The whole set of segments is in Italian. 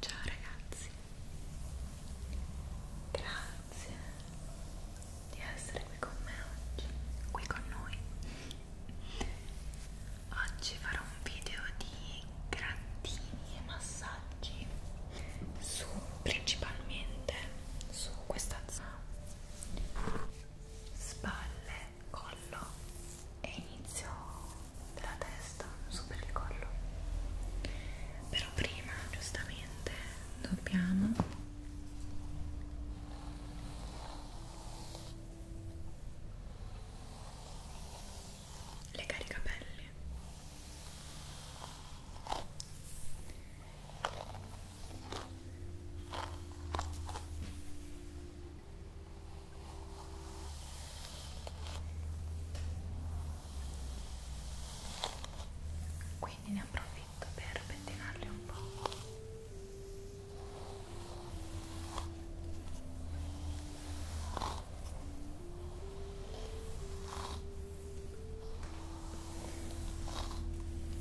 Ciao ragazzi, grazie di essere qui con me oggi, qui con noi. Oggi farò un video di grattini e massaggi su principalmente su questa zona spalle collo e inizio della testa, super il collo. Però prima, giustamente, dobbiamo legare i capelli quindi ne approfitto per pettinarli un po'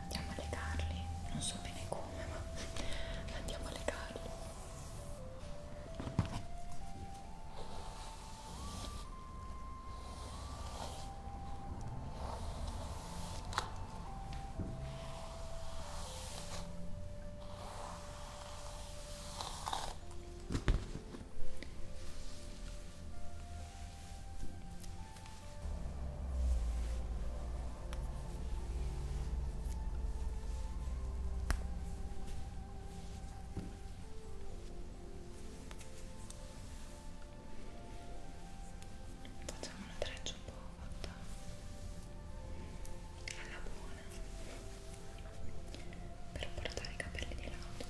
andiamo a legarli non so bene come ma andiamo a legarli Facciamo una treccia un po' fatta alla buona per portare i capelli di lato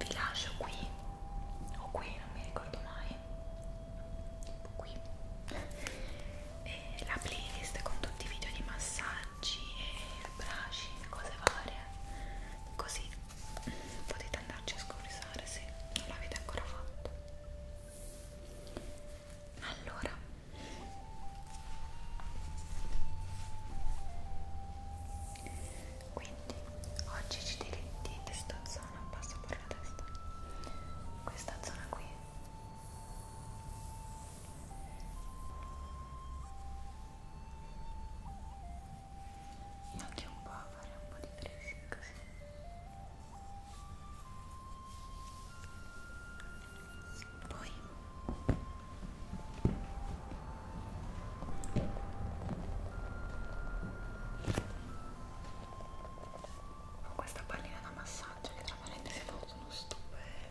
vi lascio qui o qui non mi ricordo mai tipo qui e la playlist con tutti i video di massaggi e bracci e cose varie così potete andarci a scorsare se non l'avete ancora fatto allora quindi oggi ci diretti in questa zona passo per la testa questa zona qui anche un po' a fare un po' di tracing così poi ho questa pallina da massaggio che tra parentesi è fatto uno stupendo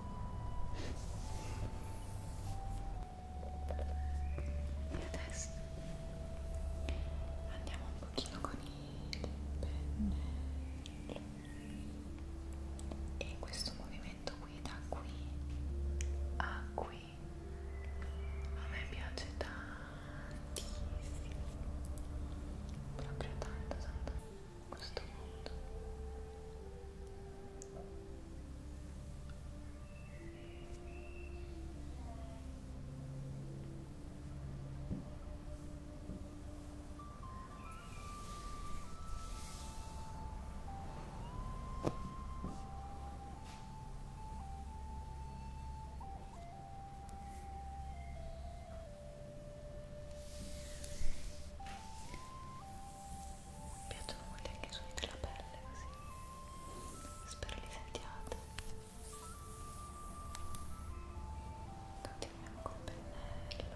e adesso andiamo un pochino con il pennello e questo movimento qui da qui a qui a me piace tantissimo proprio tanto tanto questo mondo mi piacciono molto anche i suoni della pelle così. Spero li sentiate. Continuiamo con pennello. Ecco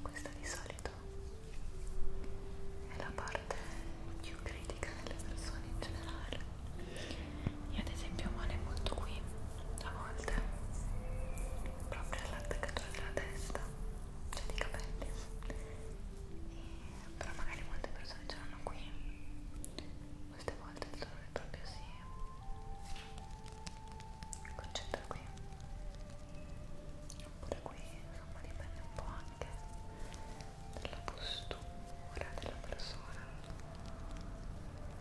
Questa di solito è la parte più critica delle persone in generale io ad esempio male molto qui a volte, proprio all'attaccatura della testa, cioè dei capelli. E, però magari molte persone ce l'hanno qui. Queste volte il dolore proprio si sì. concentra qui. Oppure qui, insomma, dipende un po' anche dalla postura della persona.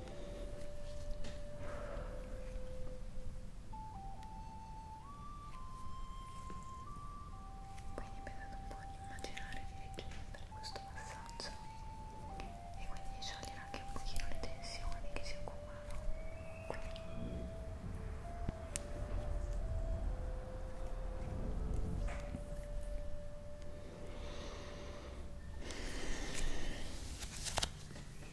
Quindi mi vedo un po' di immaginare di richiedere questo passaggio e quindi sciogliere anche un pochino le tensioni che si accumulano qui. Bene,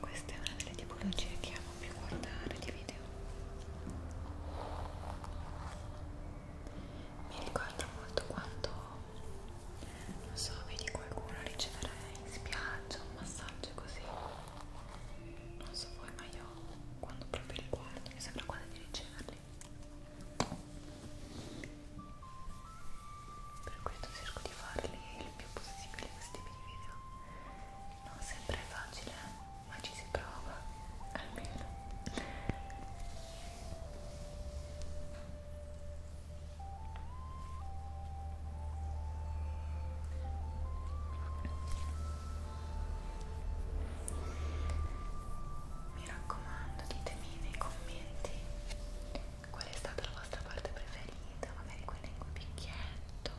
Questa è una delle tipologie che amo più guardare di video. Mi ricorda molto quando, non so, vedi qualcuno ricevere in spiaggia un massaggio così non so voi ma io quando proprio li guardo mi sembra quasi di riceverli per questo cerco di farli il più possibile questi tipi di video non sempre è facile ma ci si prova almeno mi raccomando, ditemi nei commenti qual è stata la vostra parte preferita, magari quella in cui picchietto,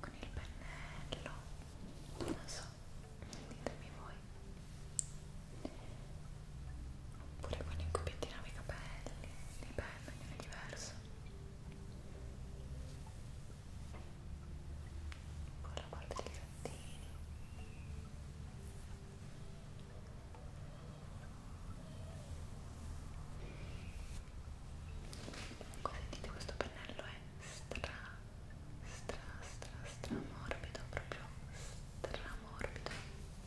con il pennello, non so, ditemi voi. Oppure con i cubettini nei capelli, nei pennelli, ognuno è diverso. Poi la parte dei gattini. Comunque sentite questo pennello è stra, stra, stra, stra morbido, proprio stra morbido.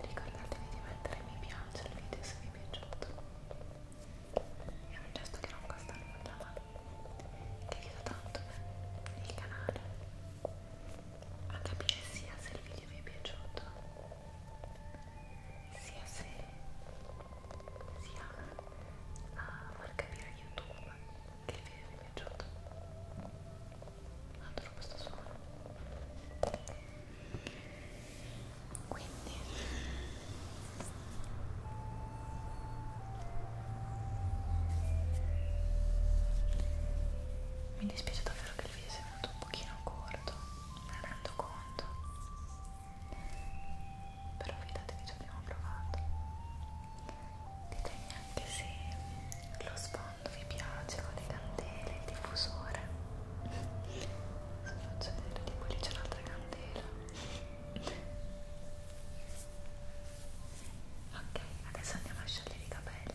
Ricordatevi di mettere mi piace al video se vi è piaciuto. È un gesto che non costa nulla, ma che aiuta tanto il canale a capire sia se il video vi è piaciuto sia se sia a far capire a YouTube che il video mi è piaciuto adoro questo suono quindi mi dispiace davvero che il video sia venuto un pochino corto, me ne rendo conto però fidatevi ci abbiamo provato ditemi anche se lo sfondo vi piace con le candele, il diffusore vi faccio vedere tipo lì c'è un'altra candela ok adesso andiamo a sciogliere i capelli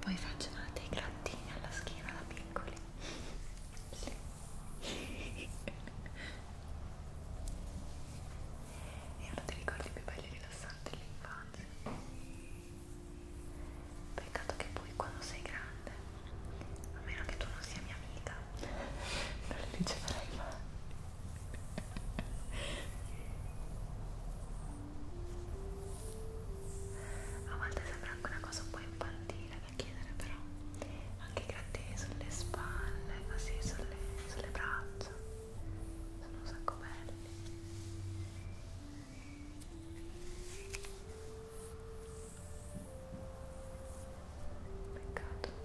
Poi facciano dei grattini alla schiena da piccoli. Sì. È uno dei ricordi più belli e rilassanti dell'infanzia. Peccato che poi quando sei grande, a meno che tu non sia mia amica, non li riceverai mai. A volte sembra anche una cosa un po' infantile da chiedere, però anche i grattini sulle spalle, così sulle, sulle braccia, sono un sacco belli. Peccato.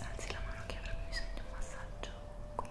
Alzi la mano che avrà bisogno di un massaggio qui.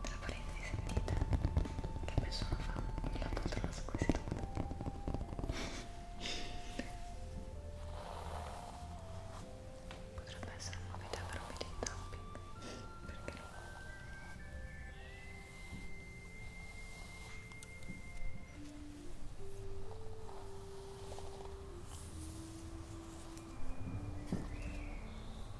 tra parentesi sentite che persona fa la poltrona squisitona potrebbe essere una novità per un video tapping perché no? Ecco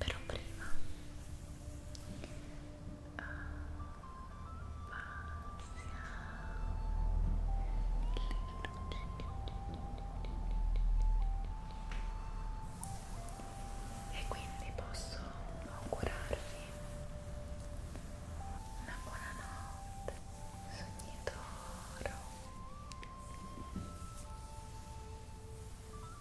Però prima e quindi posso augurarvi una buona notte sogni d'oro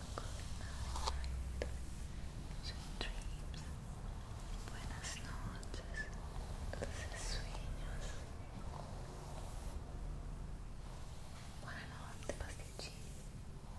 good night, sweet dreams, buenas noches, dulces sueños. Buonanotte, pasticcini. Buonanotte.